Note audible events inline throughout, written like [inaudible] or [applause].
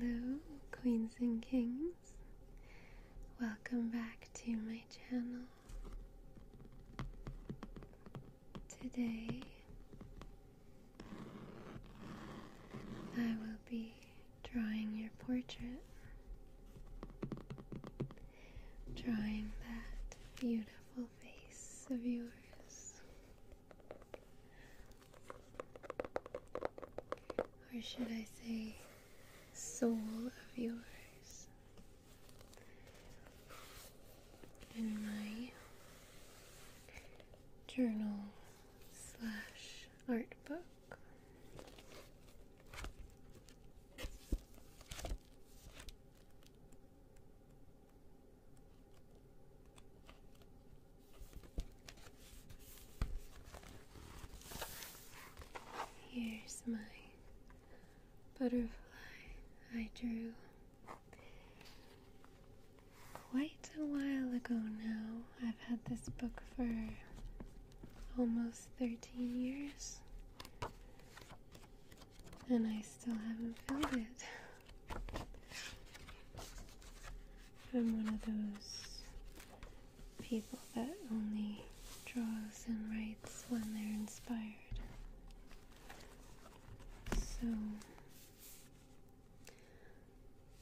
Hello, Queens and Kings. Welcome back to my channel. Today, I will be drawing your portrait, drawing that beautiful face of yours, or should I say, soul of yours in my journal slash art book. Here's my butterfly I drew quite a while ago now. I've had this book for almost 13 years, and I still haven't filled it. I'm one of those people that only draws and writes when they're inspired. So,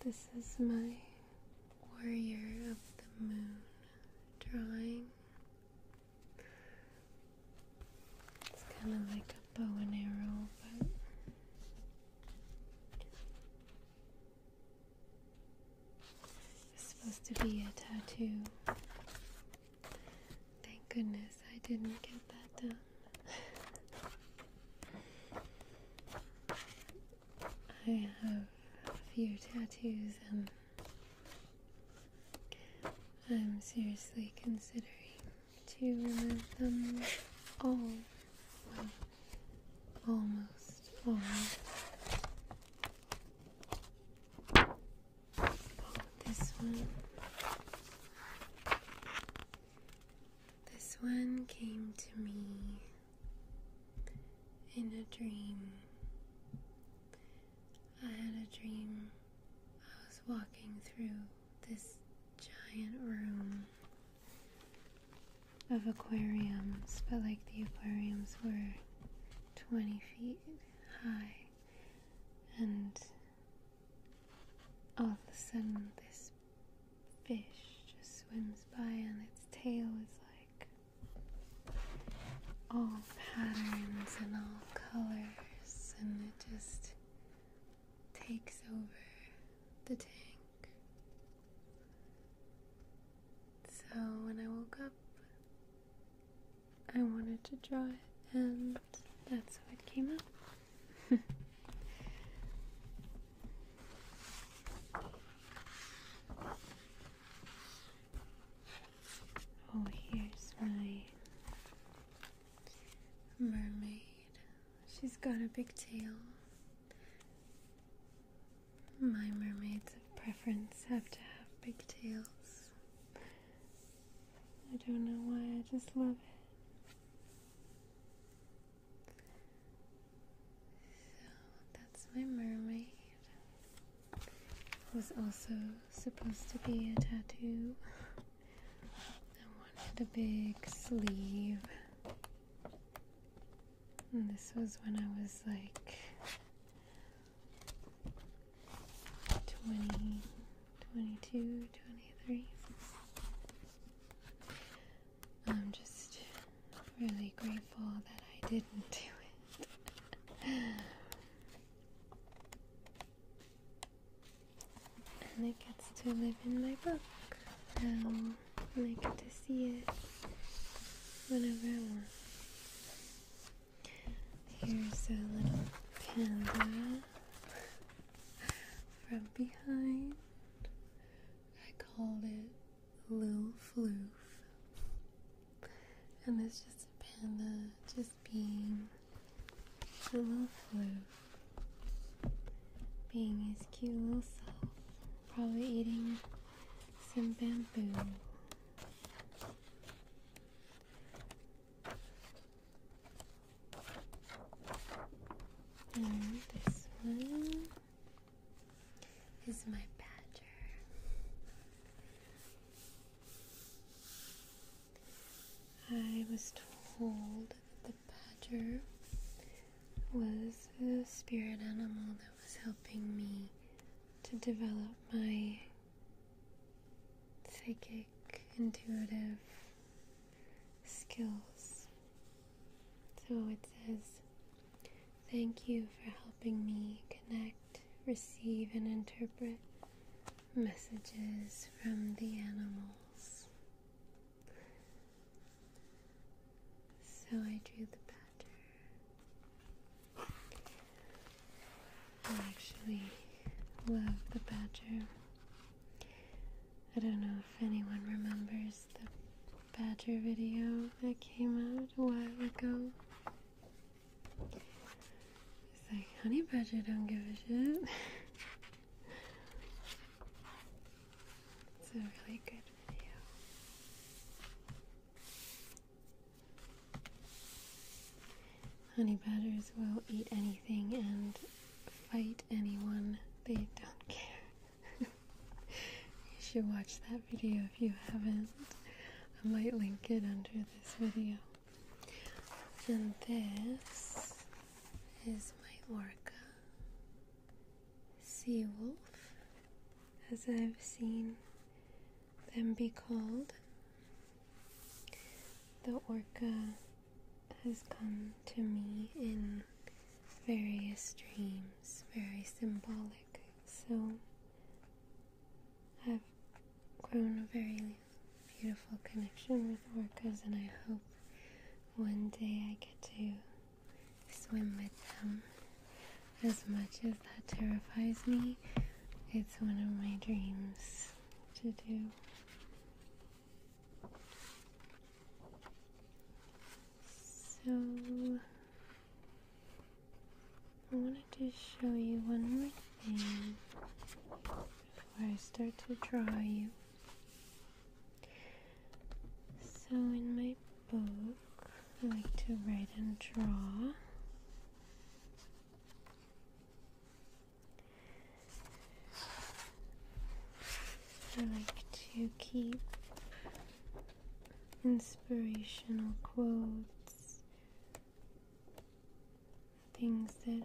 this is my Warrior of the Moon drawing. It's kind of like a bow and arrow, but it supposed to be a tattoo. Thank goodness I didn't get that done. I have a few tattoos and I'm seriously considering to remove them all. almost all. This one. This one came to me in a dream. I had a dream. I was walking through this giant room of aquariums, but like the aquariums were 20 feet high, and all of a sudden, this fish just swims by, and its tail is like all patterns and all colors, and it just takes over the tank. So when I woke up, I wanted to draw it, and that's how it came out. [laughs] oh, here's my mermaid. She's got a big tail. My mermaids of preference have to have big tails. I don't know why, I just love it. So that's my mermaid. Was also supposed to be a tattoo. I wanted a big sleeve. this was when I was like 20, 22, 23. I'm just really grateful that I didn't do it. and it gets to live in my book um, and I get to see it whenever I want. Here's a little panda from behind. I called it Lil Floof. And it's just a panda just being a little floof. Being his cute little self. Probably eating some bamboo. And this one is my badger. I was told that the badger was a spirit animal that was helping me to develop my psychic, intuitive skills. So it says, Thank you for helping me connect, receive, and interpret messages from the animals. So I drew the badger. I actually love the badger. I don't know if anyone remembers the badger video that came out a while ago. It's like, honey badger don't give a shit. [laughs] it's a really good video. Honey badgers will eat anything and fight anyone. They don't care. [laughs] you should watch that video if you haven't. I might link it under this video. And this is my orca. wolf, as I've seen then be called. The orca has come to me in various dreams, very symbolic. So I've grown a very beautiful connection with orcas, and I hope one day I get to swim with them. As much as that terrifies me, it's one of my dreams to do. So, I wanted to show you one more thing before I start to draw you. So, in my book, I like to write and draw. I like to keep inspirational quotes, things that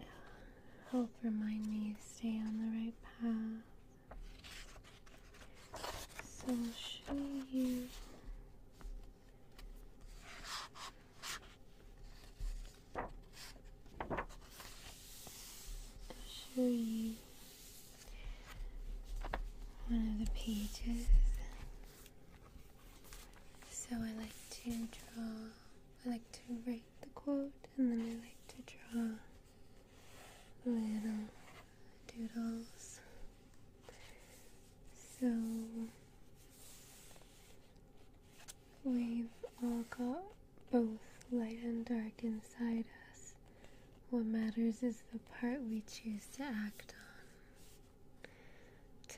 help remind me stay on the right path. So I'll show you i show you one of the pages. So I like to draw, I like to write the quote and then I like to draw little doodles so we've all got both light and dark inside us. What matters is the part we choose to act on.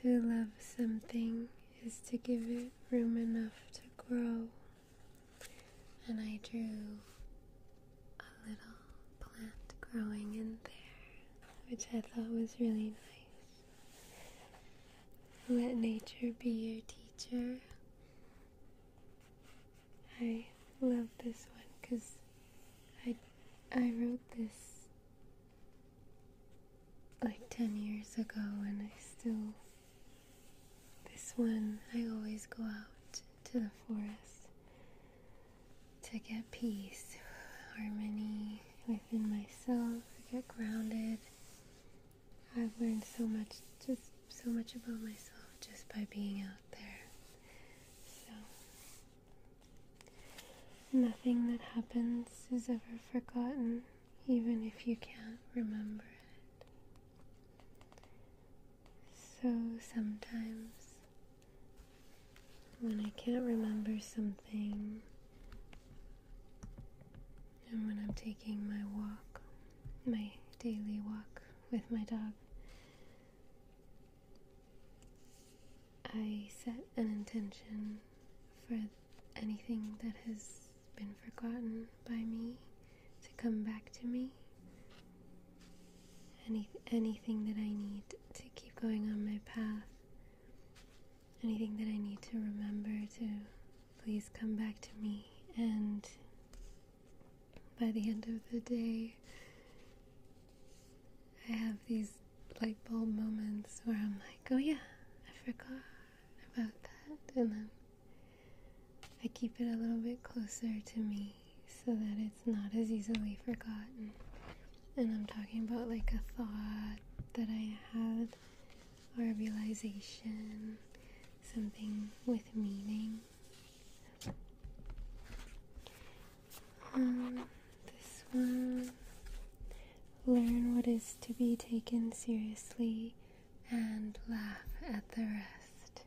To love something is to give it room enough to grow. And I drew a little plant growing in there, which I thought was really nice. Let nature be your teacher. I love this one because I, I wrote this like 10 years ago and I still. This one, I always go out to the forest to get peace, harmony within myself, to get grounded. I've learned so much, just so much about myself just by being out there. So, nothing that happens is ever forgotten, even if you can't remember it. So, sometimes when I can't remember something, and when I'm taking my walk, my daily walk with my dog, I set an intention for anything that has been forgotten by me to come back to me. Any, anything that I need to keep going on my path anything that I need to remember to please come back to me. And by the end of the day, I have these light bulb moments where I'm like, oh yeah, I forgot about that. And then I keep it a little bit closer to me so that it's not as easily forgotten and I'm talking about like a thought that I had or a realization, something with meaning. Um, this one learn what is to be taken seriously and laugh at the rest.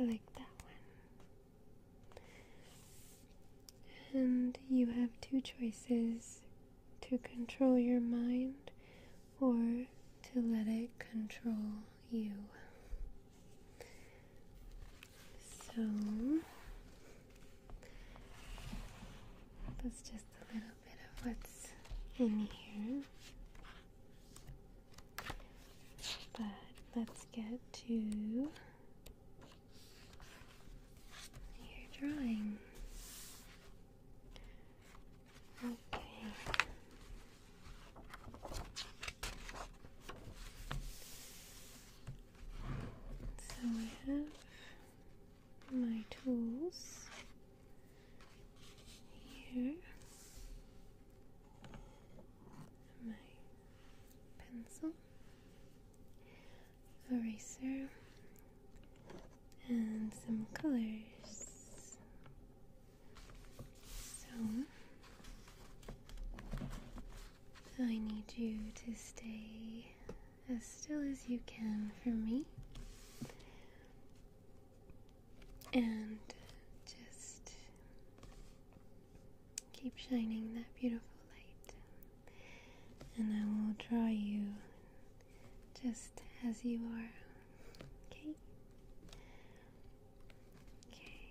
I like that one. And you have two choices to control your mind or to let it control you. So that's just a little bit of what's in here. But let's get to your drawing. Okay. So I have my tools here. My pencil eraser and some colors. So I need you to stay as still as you can for me and just Keep shining that beautiful light, and I will draw you just as you are. Okay? Okay.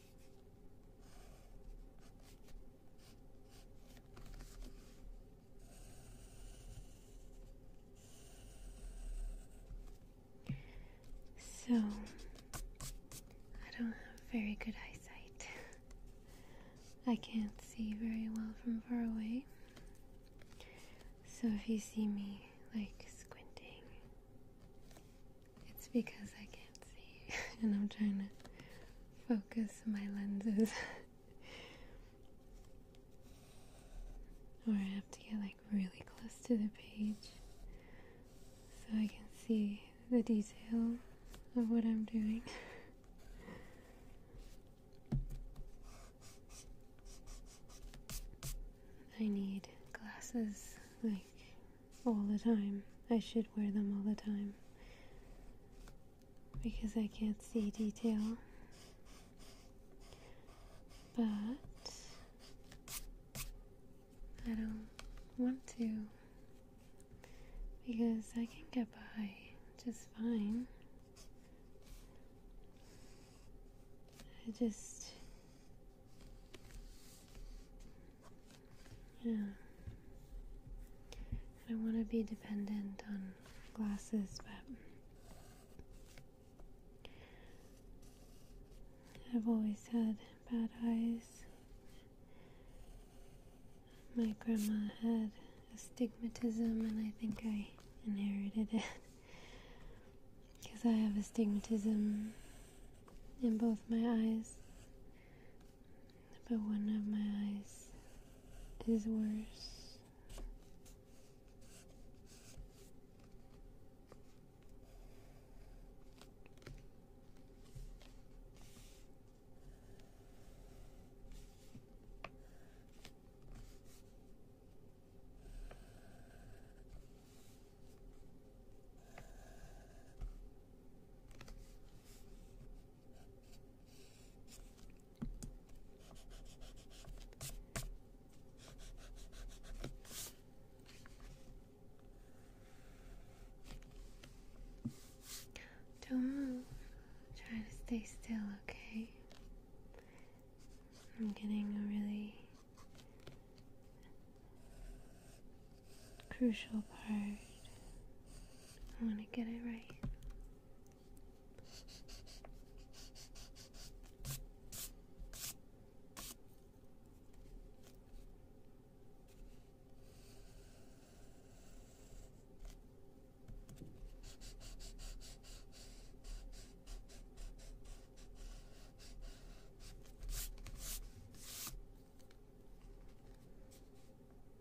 So, I don't have very good eyesight. I can't see very well from far away. So, if you see me like squinting, it's because I can't see [laughs] and I'm trying to focus my lenses. or I have to get like really close to the page so I can see the detail of what I'm doing. I need glasses like all the time. I should wear them all the time because I can't see detail. But I don't want to because I can get by just fine. I just yeah. I want to be dependent on glasses, but I've always had bad eyes. My grandma had astigmatism, and I think I inherited it because [laughs] I have astigmatism in both my eyes but one of my eyes is worse. Don't move. Try to stay still, okay? I'm getting a really crucial part. I want to get it right.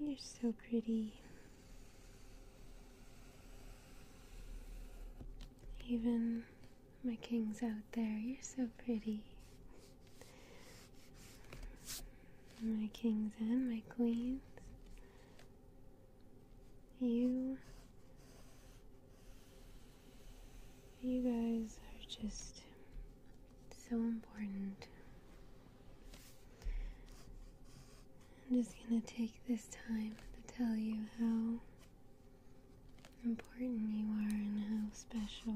You're so pretty. Even my kings out there, you're so pretty. My kings and my queens. You you guys are just so important. I'm just going to take this time to tell you how important you are and how special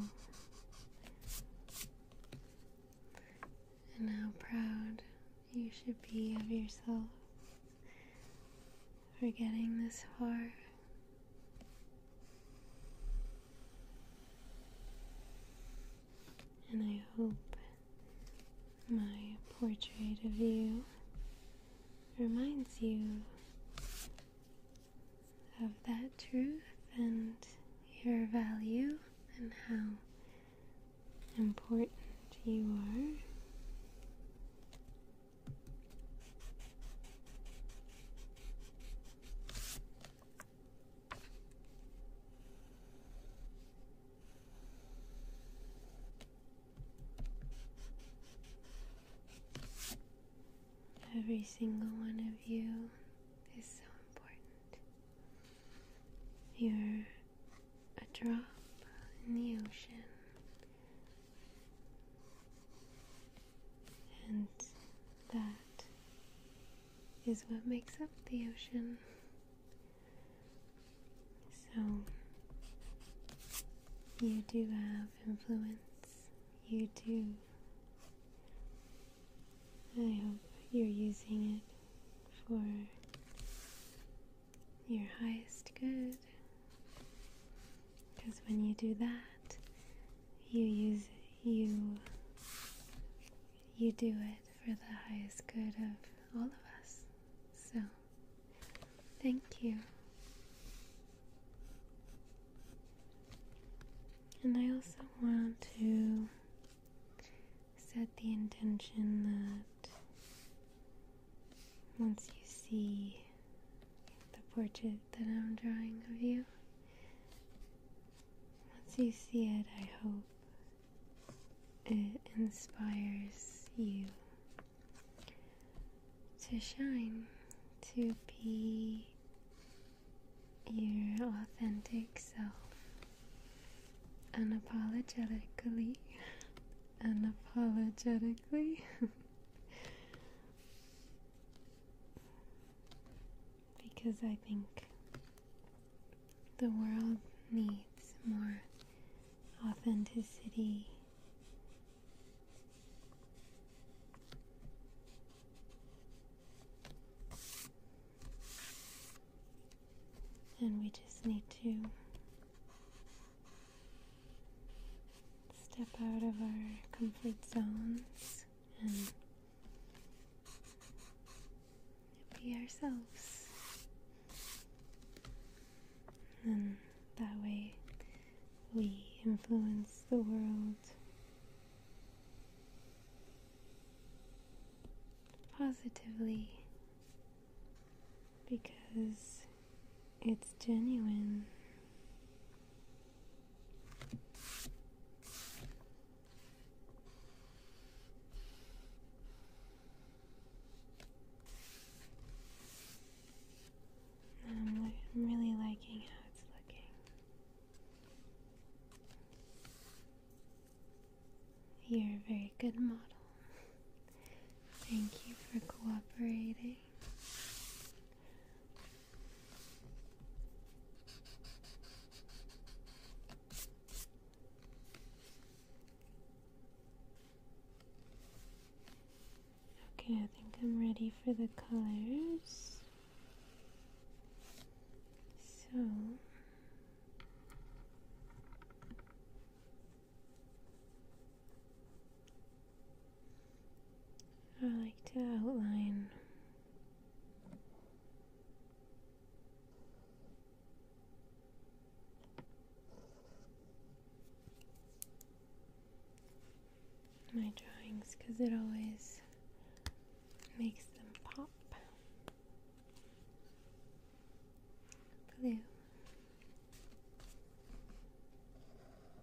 and how proud you should be of yourself for getting this far. And I hope my portrait of you reminds you of that truth and your value and how important you are Every single one of you is so important. You're a drop in the ocean and that is what makes up the ocean. So, you do have influence. You do. I hope you're using it for your highest good. Because when you do that, you use you you do it for the highest good of all of us. So, thank you. And I also want to set the intention that once you see the portrait that I'm drawing of you. Once you see it, I hope it inspires you to shine, to be your authentic self unapologetically. [laughs] unapologetically. [laughs] because I think the world needs more authenticity. And we just need to step out of our comfort zones and be ourselves. And that way we influence the world positively because it's genuine I'm really liking how it's looking. You're a very good model. [laughs] Thank you for cooperating. Okay. I think I'm ready for the colors. So I like to outline my drawings because it always makes them pop. Blue.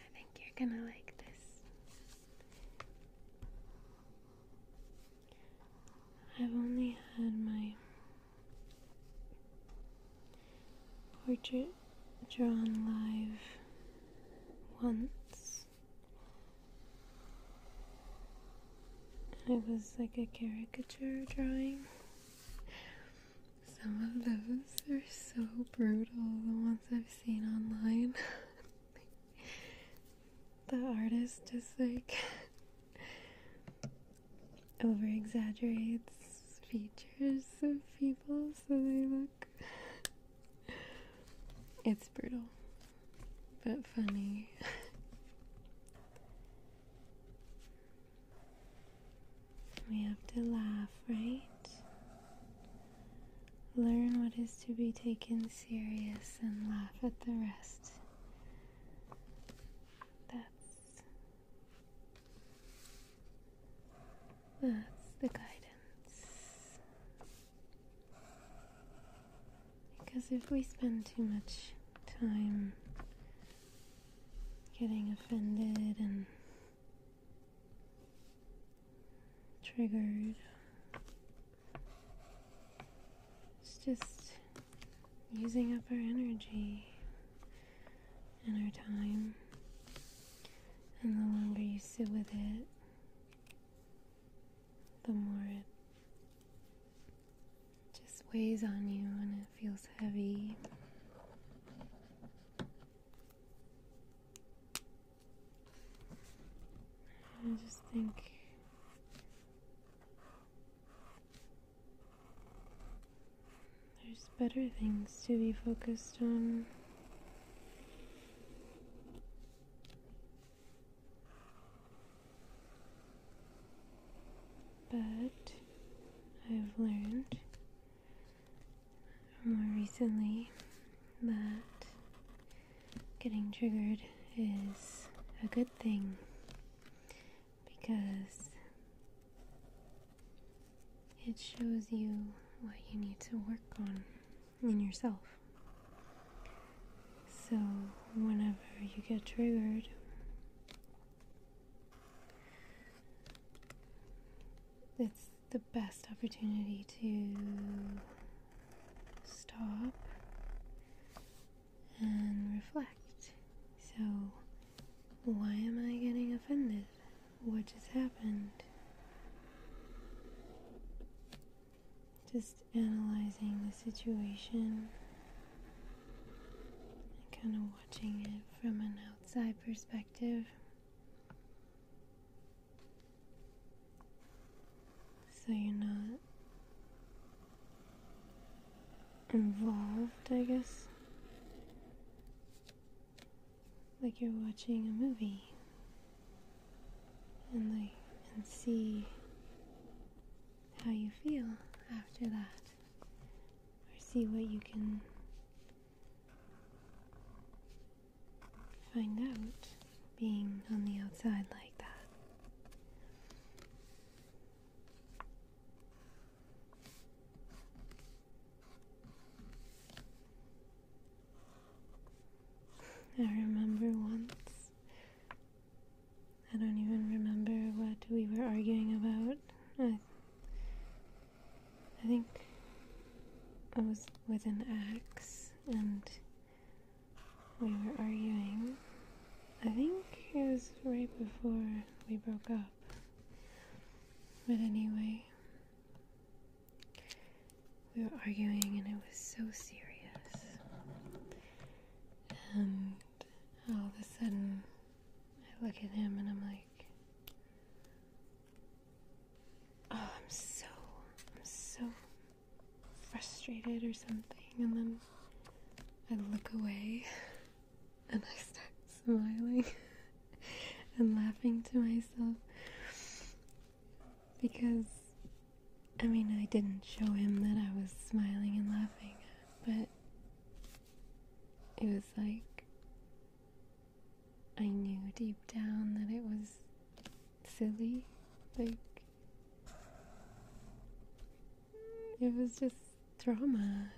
I think you're gonna like this. I've only had my portrait drawn live once, it was like a caricature drawing. Some of those are so brutal, the ones I've seen online. [laughs] the artist just like [laughs] over exaggerates features of people so they look [laughs] it's brutal, but funny. [laughs] we have to laugh, right? Learn what is to be taken serious and laugh at the rest. That's that's the guidance. Because if we spend too much time getting offended and triggered, it's just using up our energy and our time. And the longer you sit with it, the more it just weighs on you and it feels heavy. I just think there's better things to be focused on. But I've learned more recently that getting triggered is a good thing because it shows you what you need to work on in yourself. So, whenever you get triggered, it's the best opportunity to stop and reflect. So, why am I getting offended? What just happened? just analyzing the situation and kind of watching it from an outside perspective. So you're not involved, I guess. Like you're watching a movie and see how you feel after that or see what you can find out being on the outside like that. I remember once, I don't even remember what we were arguing about. I, think I was with an axe and we were arguing. I think it was right before we broke up. But anyway, we were arguing, and it was so serious. And all of a sudden, I look at him and I'm like, oh, I'm so, so frustrated or something. And then I look away [laughs] and I start smiling [laughs] and laughing to myself. Because, I mean, I didn't show him that I was smiling and laughing, but it was like I knew deep down that it was silly. Like, it was just drama.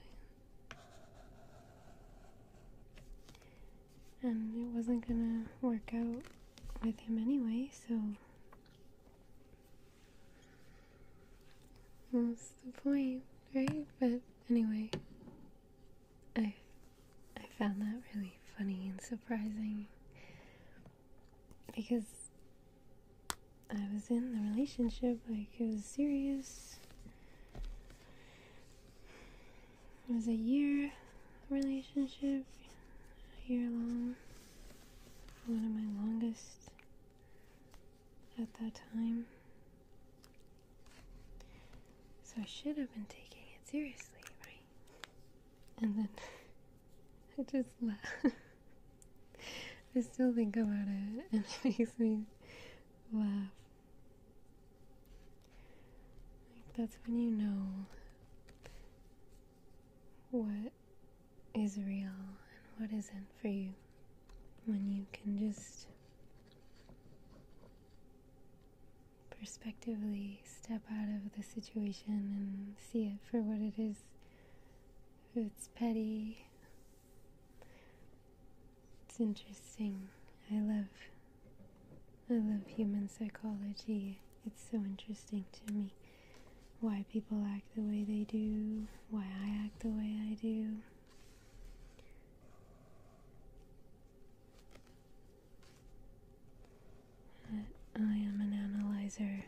And it wasn't gonna work out with him anyway, so what's the point, right? But anyway, I I found that really funny and surprising because I was in the relationship, like it was serious. It was a year relationship, a year long. One of my longest at that time. So I should have been taking it seriously, right? And then [laughs] I just laugh. I still think about it [laughs] and it makes me laugh. that's when you know what is real and what isn't for you when you can just perspectively step out of the situation and see it for what it is. If it's petty, it's interesting. I love I love human psychology. It's so interesting to me why people act the way they do, why I act the way I do. I am an analyzer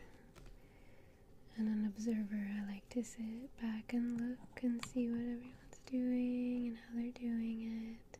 and an observer. I like to sit back and look and see what everyone's doing and how they're doing it.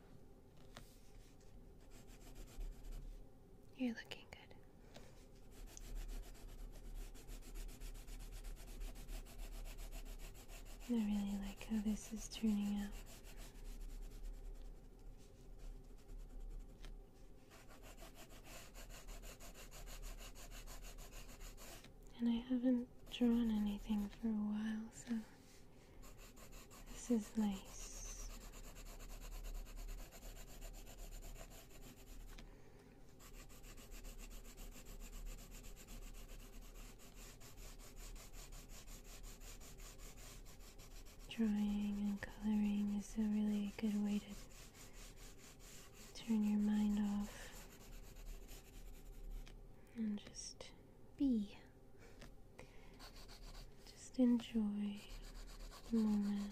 You're looking good. I really like how this is turning out. And I haven't drawn anything for a while, so this is nice. Drawing and coloring is a really good way to turn your mind off and just be. Just enjoy the moment.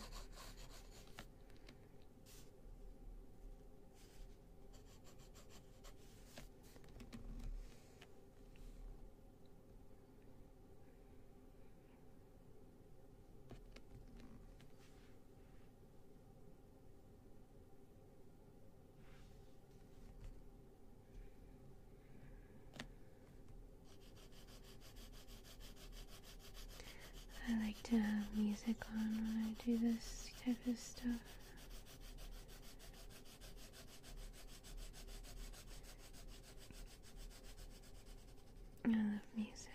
I like to have music on when I do this type of stuff. I love music.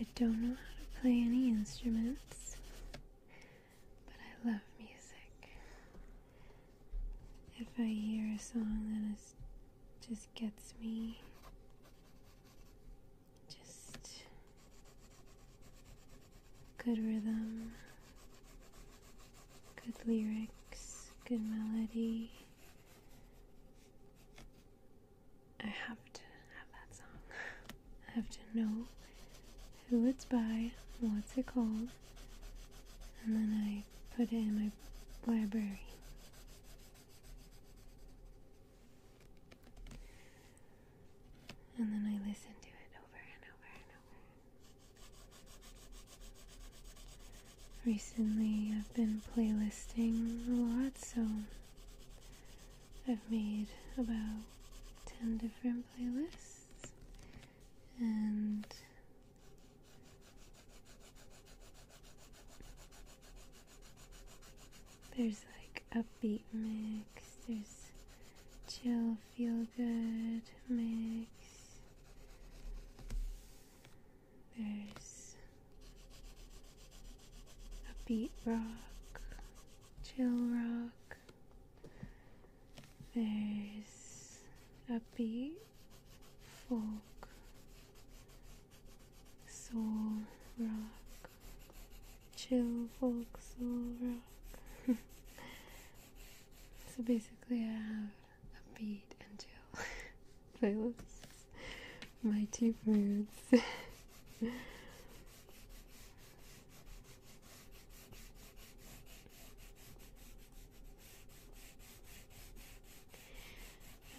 I don't know how to play any instruments. But I love music. If I hear a song that just gets me, just good rhythm, good lyrics, good melody. I have to have that song. [laughs] I have to know who it's by, what's it called, and then I put it in my library. And then I listen to it over and over and over. Recently, I've been playlisting a lot, so I've made about 10 different playlists and there's like upbeat mix, there's chill, feel good mix, there's upbeat rock, chill rock. There's upbeat, folk, soul, rock, chill, folk, soul, rock. [laughs] so basically, I have upbeat and chill [laughs] playlists. My two moods. [laughs]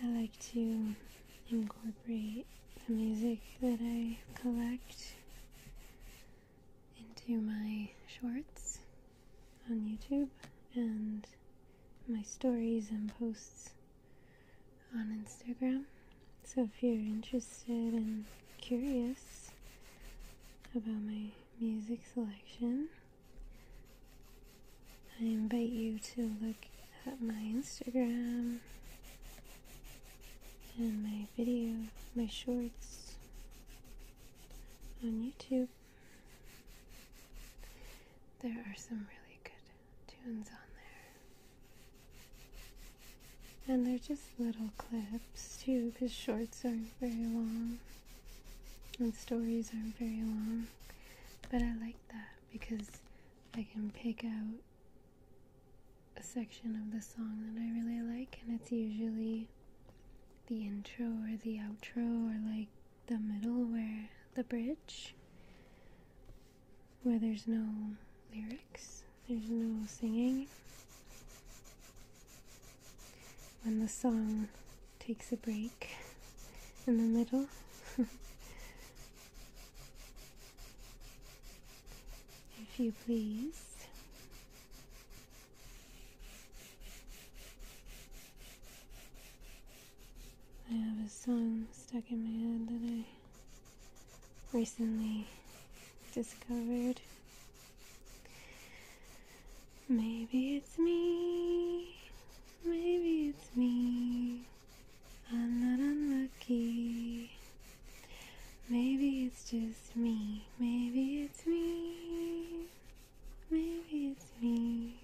I like to incorporate the music that I collect into my shorts on YouTube and my stories and posts on Instagram. So if you're interested and curious, about my music selection, I invite you to look at my Instagram and my video, my shorts on YouTube. There are some really good tunes on there. And they're just little clips too, because shorts are very long and stories are very long. But I like that because I can pick out a section of the song that I really like, and it's usually the intro or the outro or like the middle where the bridge where there's no lyrics. There's no singing. When the song takes a break in the middle. [laughs] if you please. I have a song stuck in my head that I recently discovered. Maybe it's me, maybe it's me. I'm not unlucky. Maybe it's just me, maybe it's me, maybe it's me.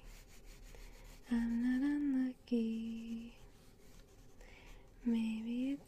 I'm not unlucky. Maybe it's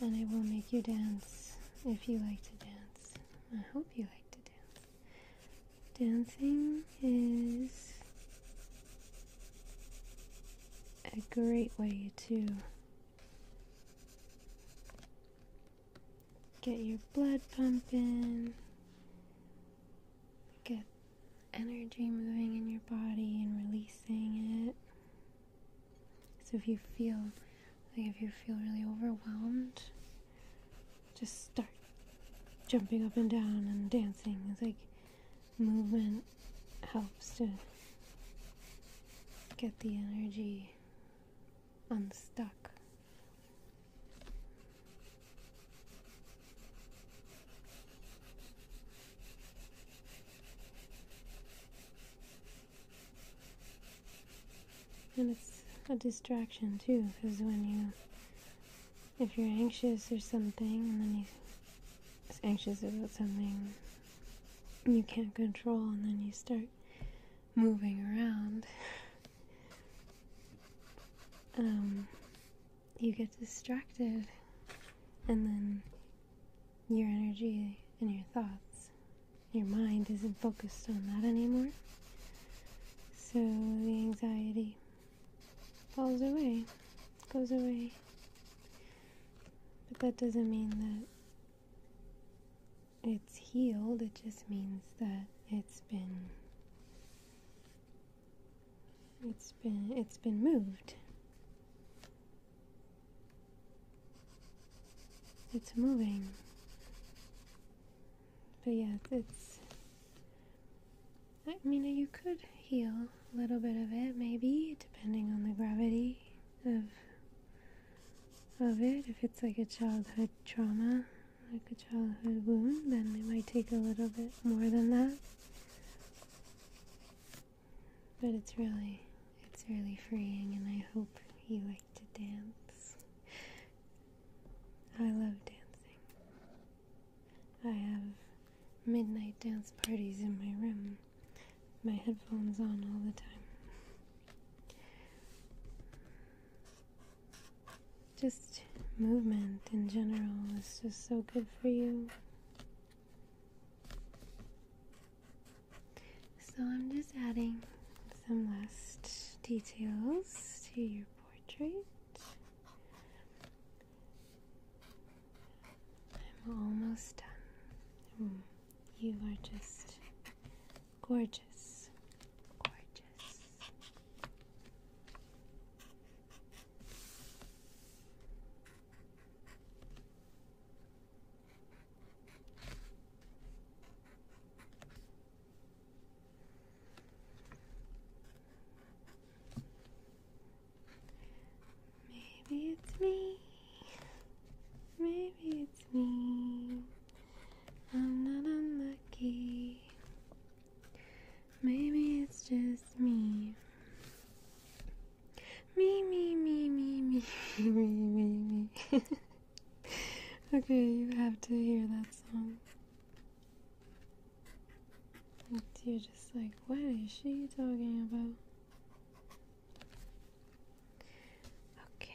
And I will make you dance if you like to dance. I hope you like to dance. Dancing is a great way to get your blood pumping, get energy moving in your body and releasing it. So if you feel like if you feel really overwhelmed, just start jumping up and down and dancing. It's like movement helps to get the energy unstuck. And it's a distraction too, because when you, if you're anxious or something, and then you're anxious about something you can't control, and then you start moving around, [laughs] um, you get distracted, and then your energy and your thoughts, your mind isn't focused on that anymore. So the anxiety falls away, goes away. But that doesn't mean that it's healed, it just means that it's been it's been it's been moved it's moving. But yeah, it's. I mean, you could heal a little bit of it, maybe, depending on the gravity of of it. If it's like a childhood trauma, like a childhood wound, then it might take a little bit more than that. But it's really, it's really freeing, and I hope you like to dance. I love dancing. I have midnight dance parties in my room, my headphones on all the time. Just movement in general is just so good for you. So I'm just adding some last details to your portrait. I'm almost done. Mm, you are just gorgeous. Gorgeous. Maybe it's me. Maybe it's me. I'm not unlucky. Maybe it's just me. Me, me, me, me, me, [laughs] me, me, me. [laughs] okay, you have to hear that song. And you're just like, what is she talking about? Okay.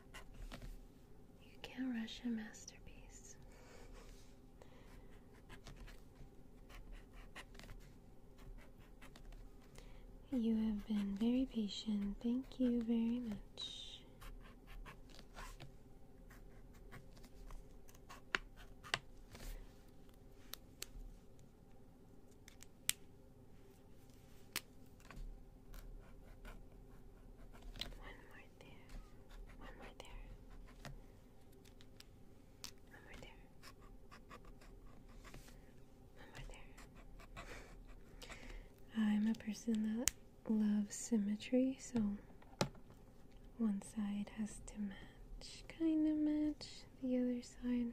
You can't rush a masterpiece. You have been very patient. Thank you very much. One more there. One more there. One more there. One more there. I'm a person that loves symmetry, so one side has to match, kind of match the other side.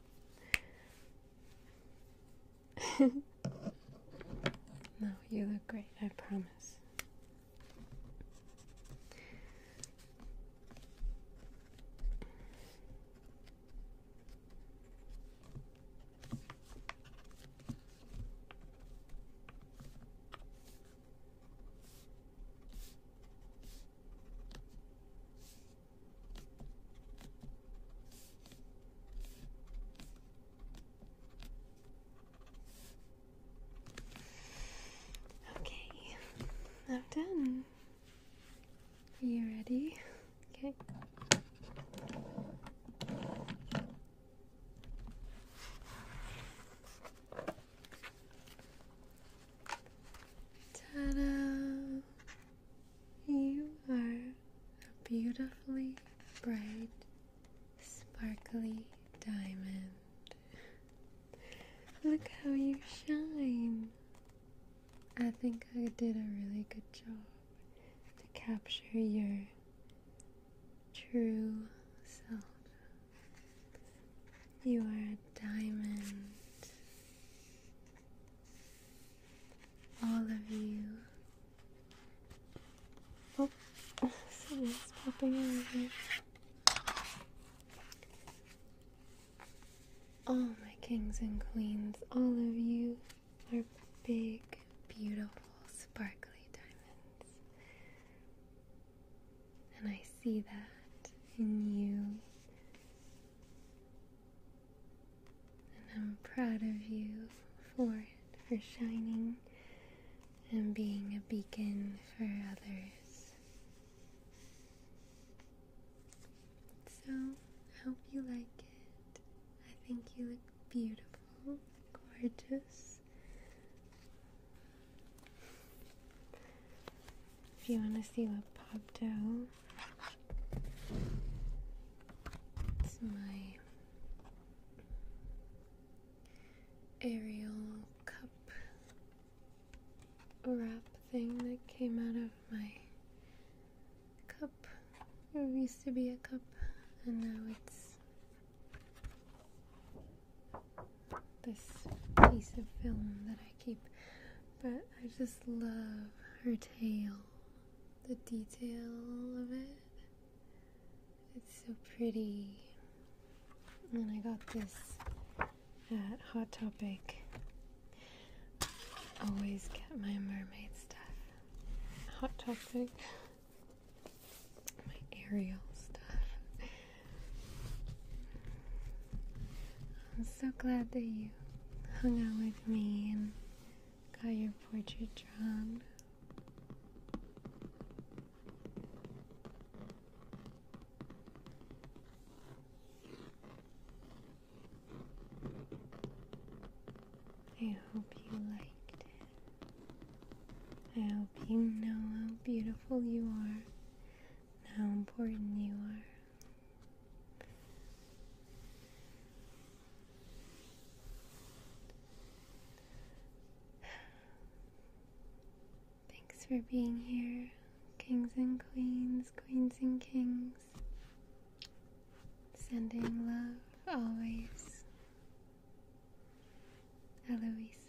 [laughs] no, you look great, I promise. Okay, I'm done. Are you ready? Okay. Tada! You are a beautifully bright, sparkly diamond. Look how you shine! I think I did a really good job to capture your true self. You are a diamond all of you. Oh, something's popping out here. All my kings and queens, all of you are big, beautiful, sparkly diamonds. And I see that in you. And I'm proud of you for it, for shining and being a beacon for others. So, I hope you like it. I think you look beautiful, gorgeous. If you want to see what popped out, it's my aerial cup wrap thing that came out of my cup. It used to be a cup, and now it's this piece of film that I keep. But I just love her tail, the detail of it. It's so pretty. And I got this at Hot Topic. Always get my mermaid stuff. Hot Topic. My Ariel stuff. I'm so glad that you you hung out with me and got your portrait drawn. I hope you liked it. I hope you know how beautiful you are and how important you are. Thanks for being here, kings and queens, queens and kings. Sending love always, Eloisa.